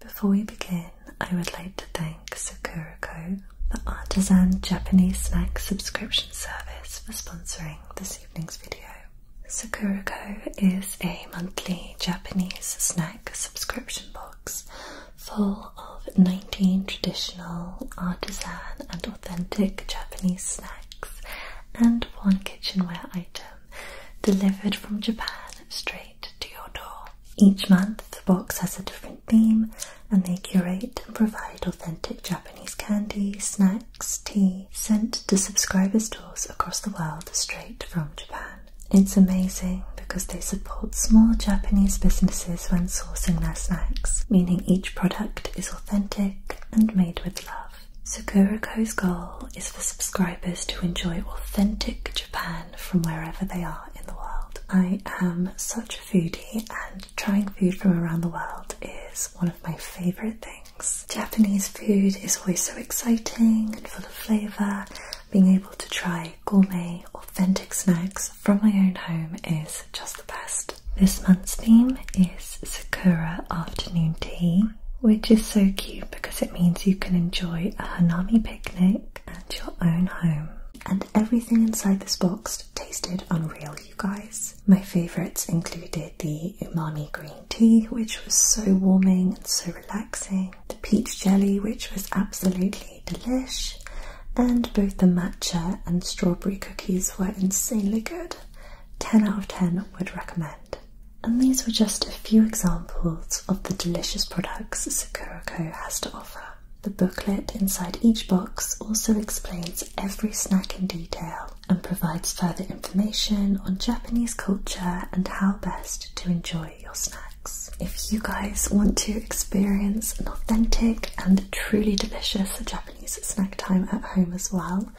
Before we begin, I would like to thank Sakurako, the Artisan Japanese Snack Subscription Service, for sponsoring this evening's video. Sakurako is a monthly Japanese snack subscription box full of 19 traditional, artisan, and authentic Japanese snacks and one kitchenware item delivered from Japan straight to your door. Each month, the box has a different theme, and they curate and provide authentic Japanese candy, snacks, tea, sent to subscribers' doors across the world straight from Japan. It's amazing because they support small Japanese businesses when sourcing their snacks, meaning each product is authentic and made with love. Sakuriko's goal is for subscribers to enjoy authentic Japan from wherever they are in the world. I am such foodie and trying food from around the world is one of my favourite things. Japanese food is always so exciting and full of flavour. Being able to try gourmet, authentic snacks from my own home is just the best. This month's theme is Sakura Afternoon Tea, which is so cute because it means you can enjoy a hanami picnic at your own home everything inside this box tasted unreal, you guys. My favourites included the umami green tea, which was so warming and so relaxing, the peach jelly, which was absolutely delish, and both the matcha and strawberry cookies were insanely good. 10 out of 10 would recommend. And these were just a few examples of the delicious products Sakurako has to offer. The booklet inside each box also explains every snack in detail and provides further information on Japanese culture and how best to enjoy your snacks. If you guys want to experience an authentic and truly delicious Japanese snack time at home as well,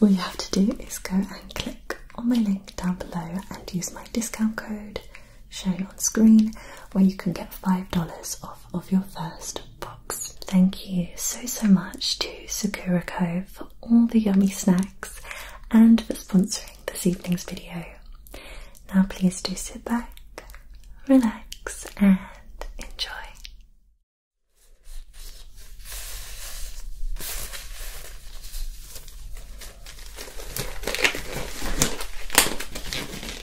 all you have to do is go and click on my link down below and use my discount code shown on screen where you can get $5 off of your first box. Thank you so so much to Sakura Co for all the yummy snacks and for sponsoring this evening's video. Now please do sit back, relax and enjoy.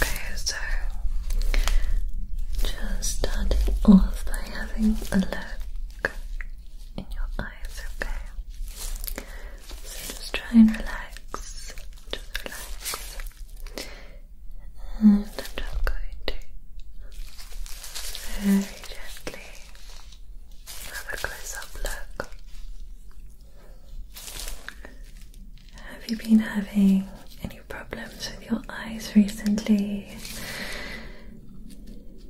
Okay, so just starting off by having a look in your eyes, okay? So just try and relax, just relax. And I'm just going to very gently have a close up look have you been having any problems with your eyes recently?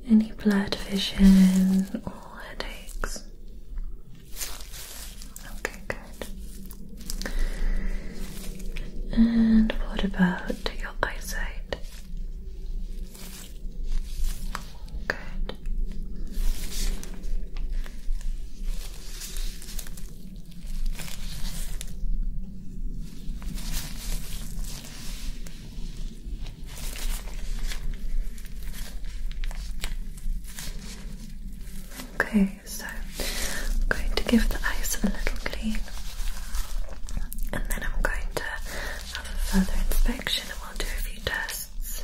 Any blurred vision or headaches? Okay, good. And what about your eyesight? Okay. Okay, so I'm going to give the ice a little clean and then I'm going to have a further inspection and we'll do a few tests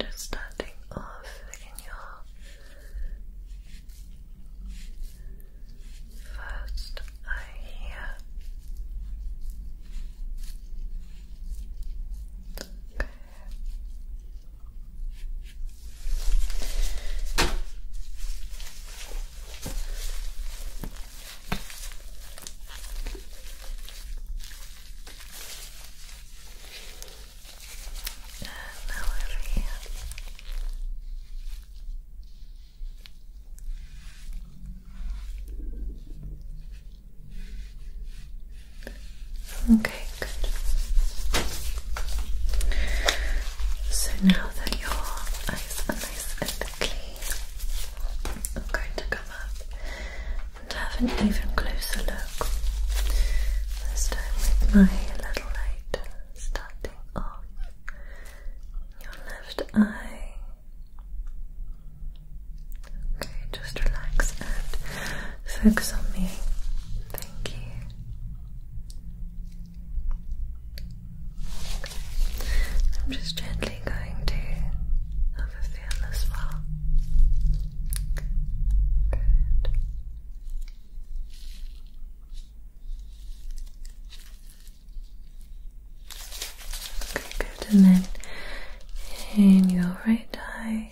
Just starting off in your first eye here. Okay. And now Okay, good. So now that your eyes are nice and clean, I'm going to come up and have an even closer look. This time with my little light starting off your left eye. Okay, just relax and focus on me. Thank you. I'm just gently going to have a feel as well. Good. Okay, good. And then in your right eye.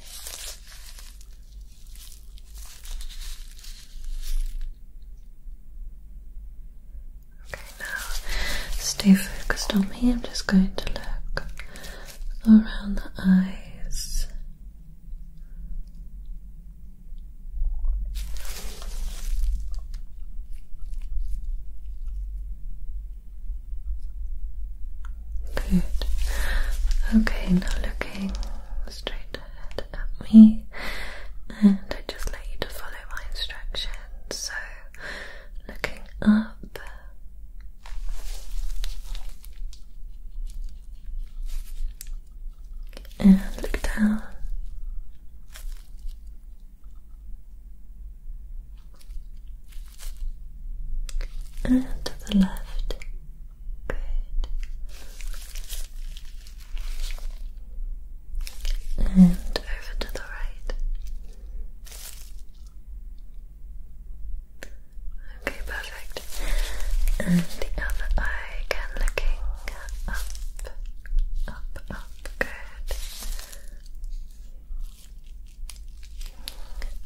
Okay, now stay focused on me. I'm just going to look around the eyes. Good. Okay, now looking straight ahead at me, and I just like you to follow my instructions. So, looking up. And look down and to the left. Good. And over to the right. Okay, perfect. And the other eye again looking up, up, up. Good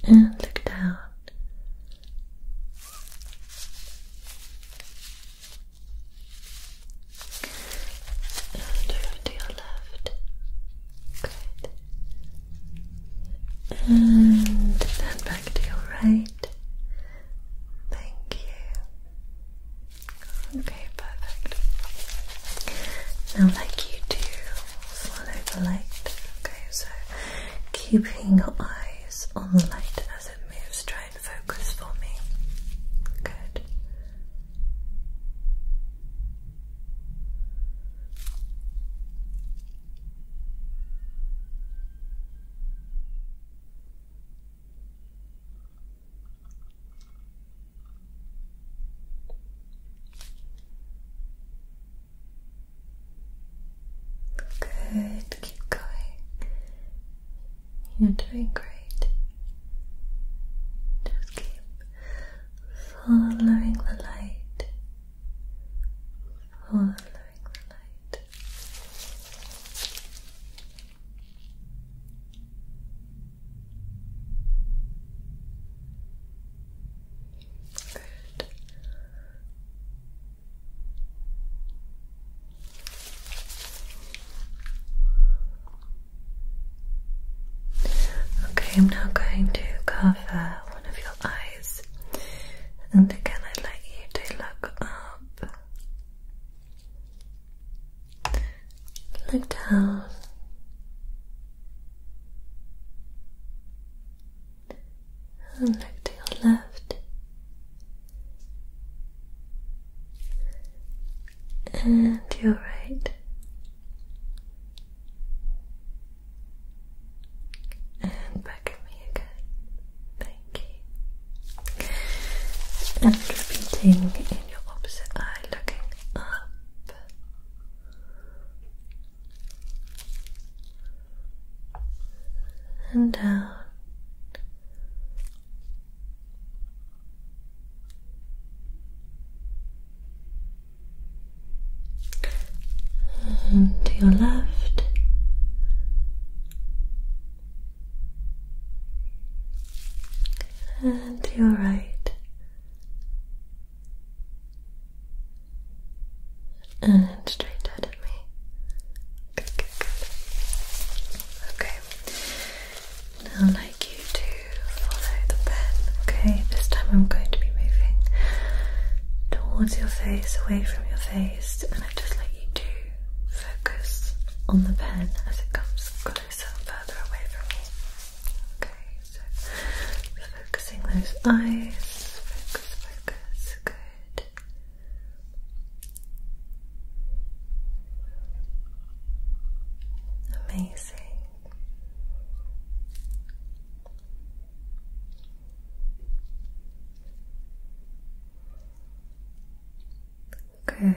and look down. And over to your left. Good. And then back to your right. Thank you. Okay, perfect. Now, like you do, follow the light. Okay, so keeping your eyes on the light as it moves, try and focus for me. Good. Good, keep going. You're doing great. Just keep following the light. Following the light. Okay, I'm now going to cover one of your eyes, and again, I'd like you to look up, look down, and look to your left and your right, and back at me again. Thank you. And repeating in your opposite eye, looking up and down. And to your left, and to your right, and straight out at me. Okay. Now like you to follow the pen, okay? This time I'm going to be moving towards your face, away from your face, and I just let you do. focus on the pen as it comes closer and further away from me. Okay focusing those eyes. Focus, focus. Good. Amazing. Good.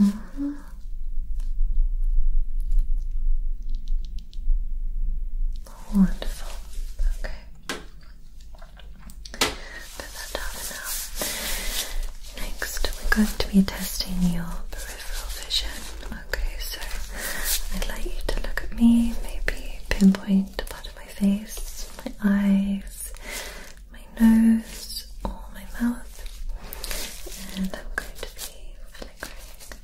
Mm-hmm. Wonderful. Okay. Put that down now. Next, we're going to be testing your peripheral vision. Okay, so I'd like you to look at me, maybe pinpoint a part of my face, my eyes, my nose or my mouth, and I'm going to be flickering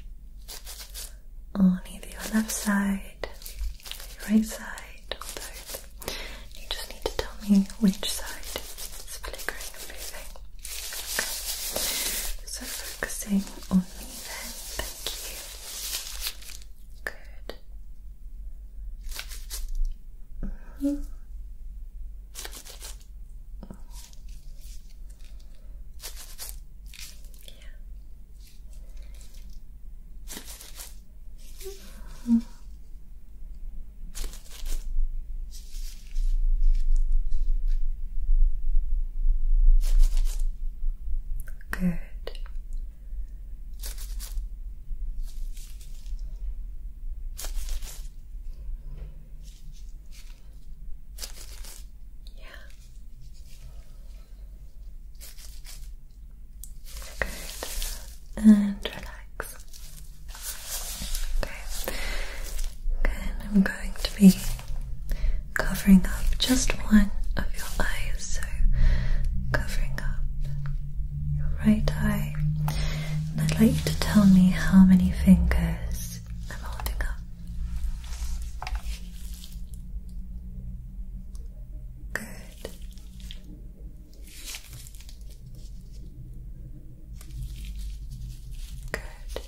on either your left side, your right side, or both. You just need to tell me which side is flickering and moving. Okay. So focusing on me then, thank you. Good yeah. -hmm. Good. Yeah. Good. And relax. Okay. Then I'm going to be covering up just one of your eyes, so covering up your right eye. And I'd like you to tell me how many fingers I'm holding up. Good. Good. Good.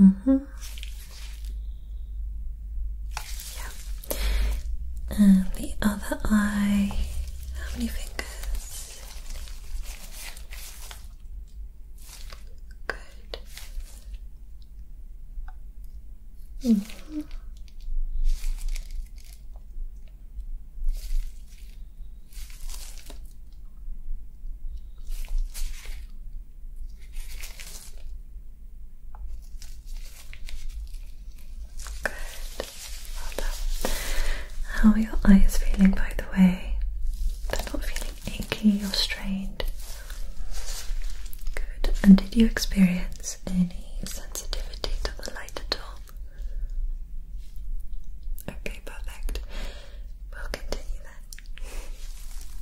Mm -hmm. Yeah. And the other eye. How many fingers? Good. Mm -hmm. Good. How are your eyes feeling, by the way? They're not feeling achy or strained. Good. And did you experience any sensitivity to the light at all? Okay, perfect. We'll continue then.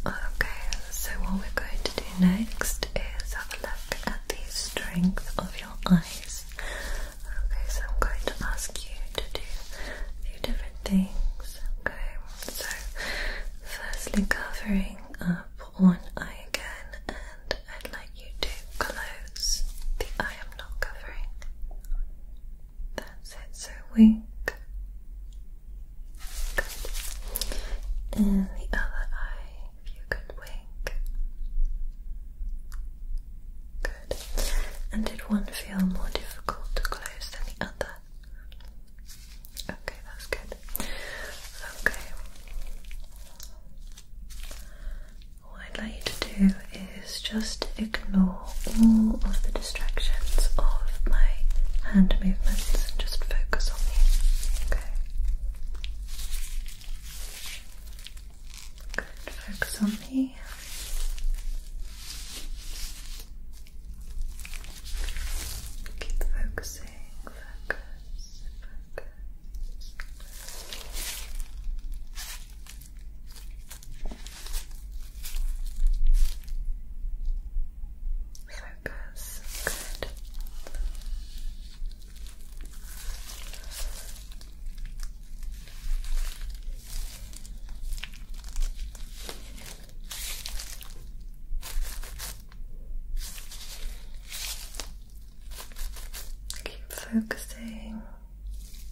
Okay, so what we're going to do next is have a look at the strength of your eyes. Okay, so I'm going to ask you to do a few different things. Okay, so firstly covering up one eye again, and I'd like you to close the eye I'm not covering. That's it, so wink. Good. And the other eye, if you could wink. Good. And did one feel more difficult to close than the other? Okay, that's good. Okay. What I'd like you to do is just ignore all of the distractions of my hand movements and just focus on you. Okay. Good, focus on me. Keep focusing, focus, focus. Focus. Good. Keep focusing Focus, focus.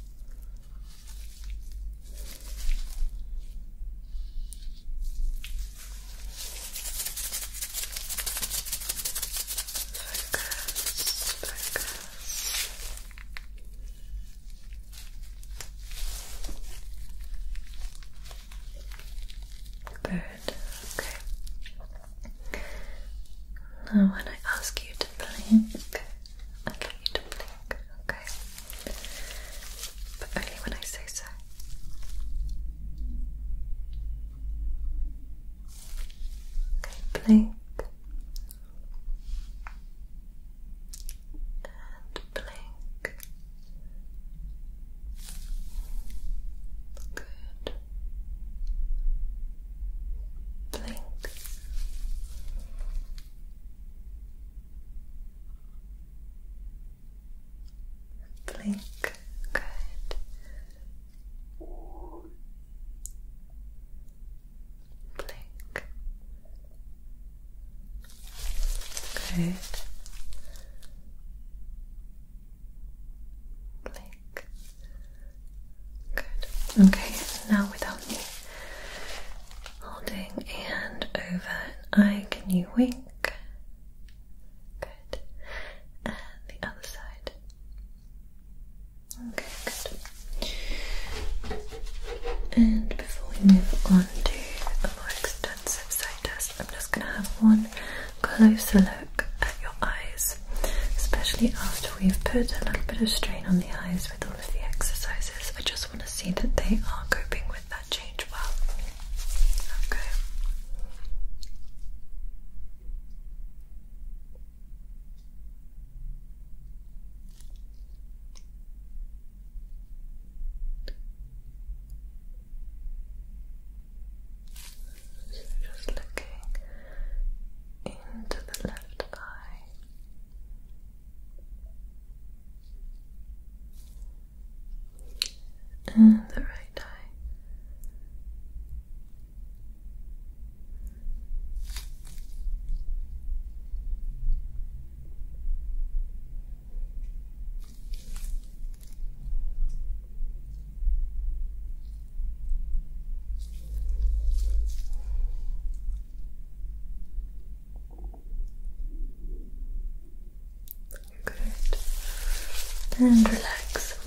Bird, okay. Now, when I ask you to blink, I'd you to blink, okay? But only when I say so. blink and blink. Good. Blink. Blink. Good. Blink. Good. Blink. Good. Okay, now without me holding and over an eye. Can you wink? Good. And the other side. Okay, good. And before we move on to a more extensive side test, I'm just going to have one closer look at your eyes, especially after we've put a little bit of strain on the eyes with all of the exercises. I just just want to see that they are coping with that change well. Okay. So just looking into the left eye and the right eye. Good. And relax.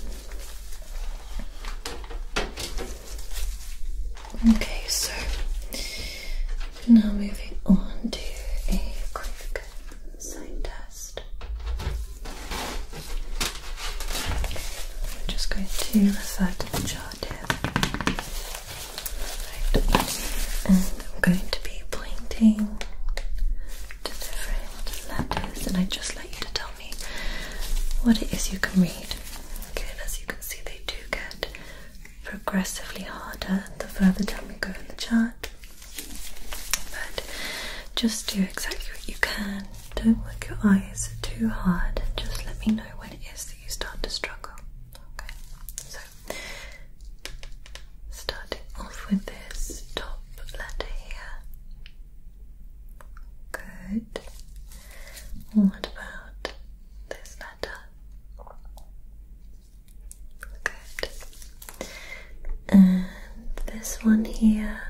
Okay, so now moving on to a quick sign test. We're just going to refer to the chart here. And I'm going to be pointing to different letters, and I just like you to tell me what it is you can read. Okay, as you can see, they do get progressively harder the further down we go in the chart. But just do exactly what you can. Don't work your eyes too hard. Just let me know what it is you start to struggle. Okay, so starting off with this top letter here. Good. What about this letter? Good. And this one here.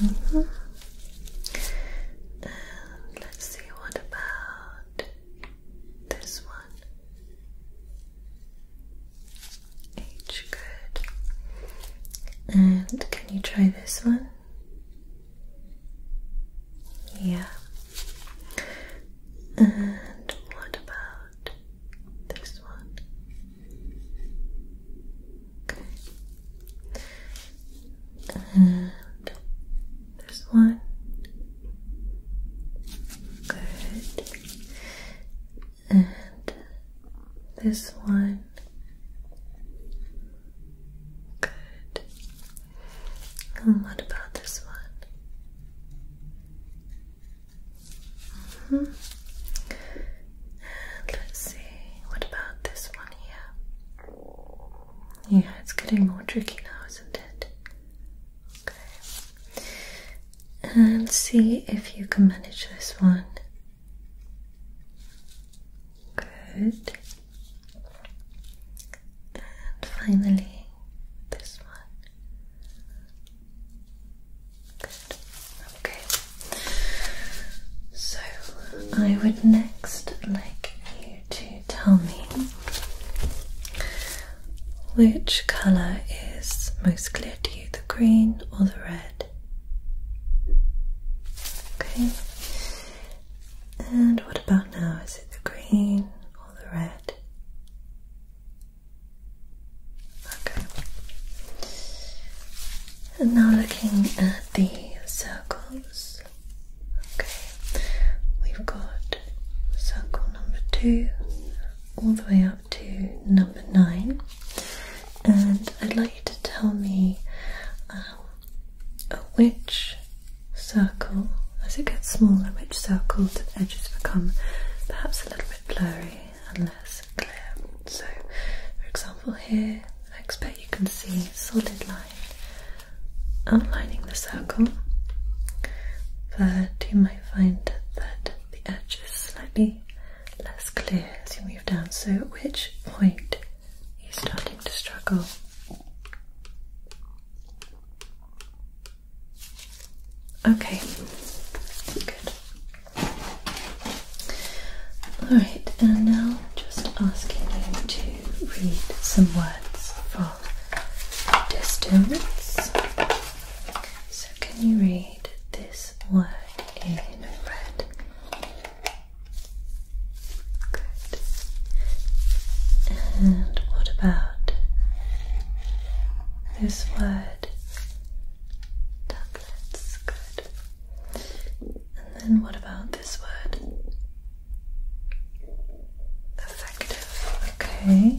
-hmm. Let's see what about this one. H good. And can you try this one? Yeah. And what about this one? Okay. And there's one. Good. And this one. Good. And what about this one? -hmm. let's see, what about this one here? Yeah, it's getting more tricky now, isn't it? Okay. And see if you can manage this one. Good. And finally, this one. Good. Okay. So I would next like to tell me which colour is most clear to you, the green or the red? Okay. And what about now? Is it the green or the red? Okay. And now looking at the circles. Okay, we've got circle number two all the way up to number nine, and I'd like you to tell me um, uh, which circle, as it gets smaller, which circle the edges become perhaps a little bit blurry and less clear. So, for example, here I expect you can see solid lines outlining the circle, but you might find that the edge is slightly less clear as you move down. So, at which point you are starting to struggle? Okay, good. Alright, and now just asking you to read some words from distance. So, can you read this word in red? Good. And what about this word? Tablets. Good. And then what about this word? Effective. Okay.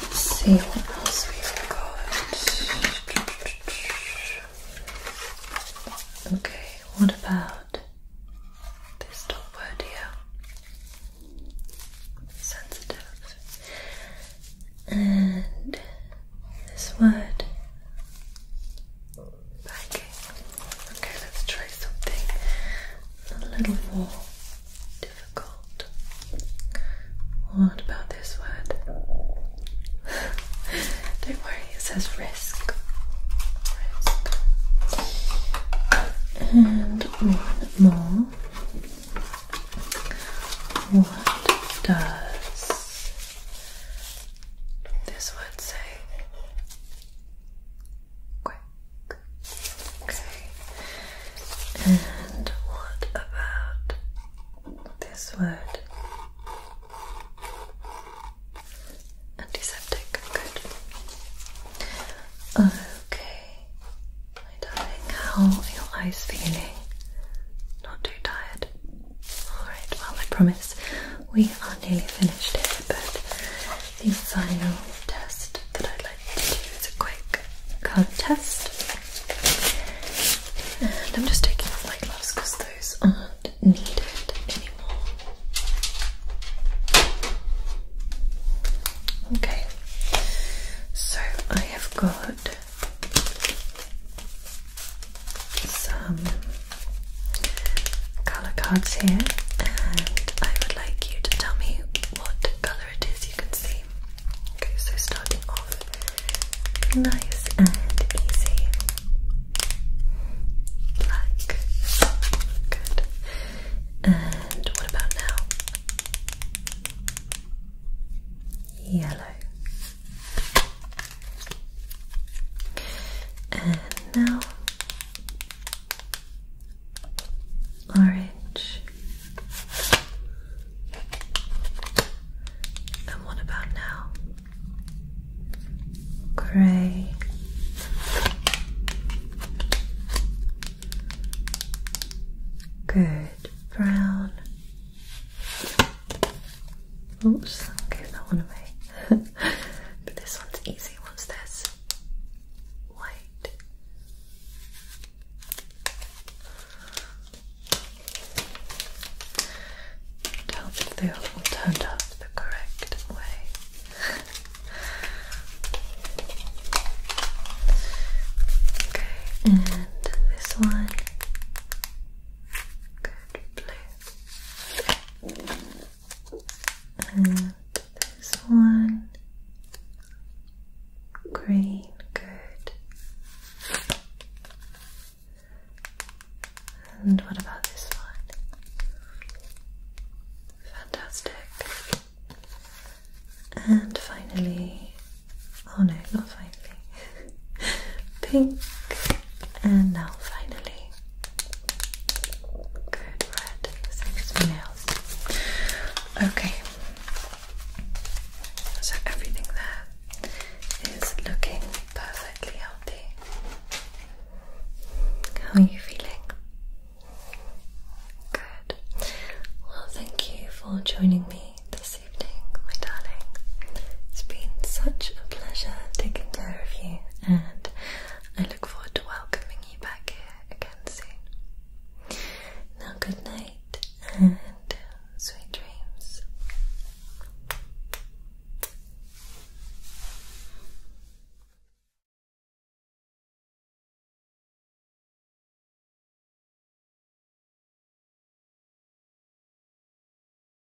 Let's see what else we've got. Okay, what about this top word here? Sensitive. And this word packing. Okay, let's try something a little more difficult. What about this word? Don't worry, it says risk. Risk. And one more. What does this word say quick. Okay. And what about this word? Antiseptic. Good. Okay. My darling, how are your eyes feeling? Not too tired? Alright, well, I promise we are nearly finished here, but the final test that I'd like to do is a quick colour test. And I'm just taking off my gloves because those aren't needed anymore. Okay, so I have got some colour cards here and I would like you to tell me what colour it is you can see. Okay, so starting off nice and easy. Black. Good. And what about now? Yellow. And now orange. And what about now? Gray. Good. Brown. Oops, I gave that one away. but this one's easy. What's this? White. Tell if they all turned up the correct way. okay, and this one Good blue. And this one. Green, good. And what about this one? Fantastic. And finally, oh no, not finally. pink, and now finally good red. Six nails. Okay, so everything there is looking perfectly healthy. How are you feeling? Good. Well, thank you for joining me this evening, my darling. It's been such a pleasure taking care and I look forward to welcoming you back here again soon. Now, good night and sweet dreams.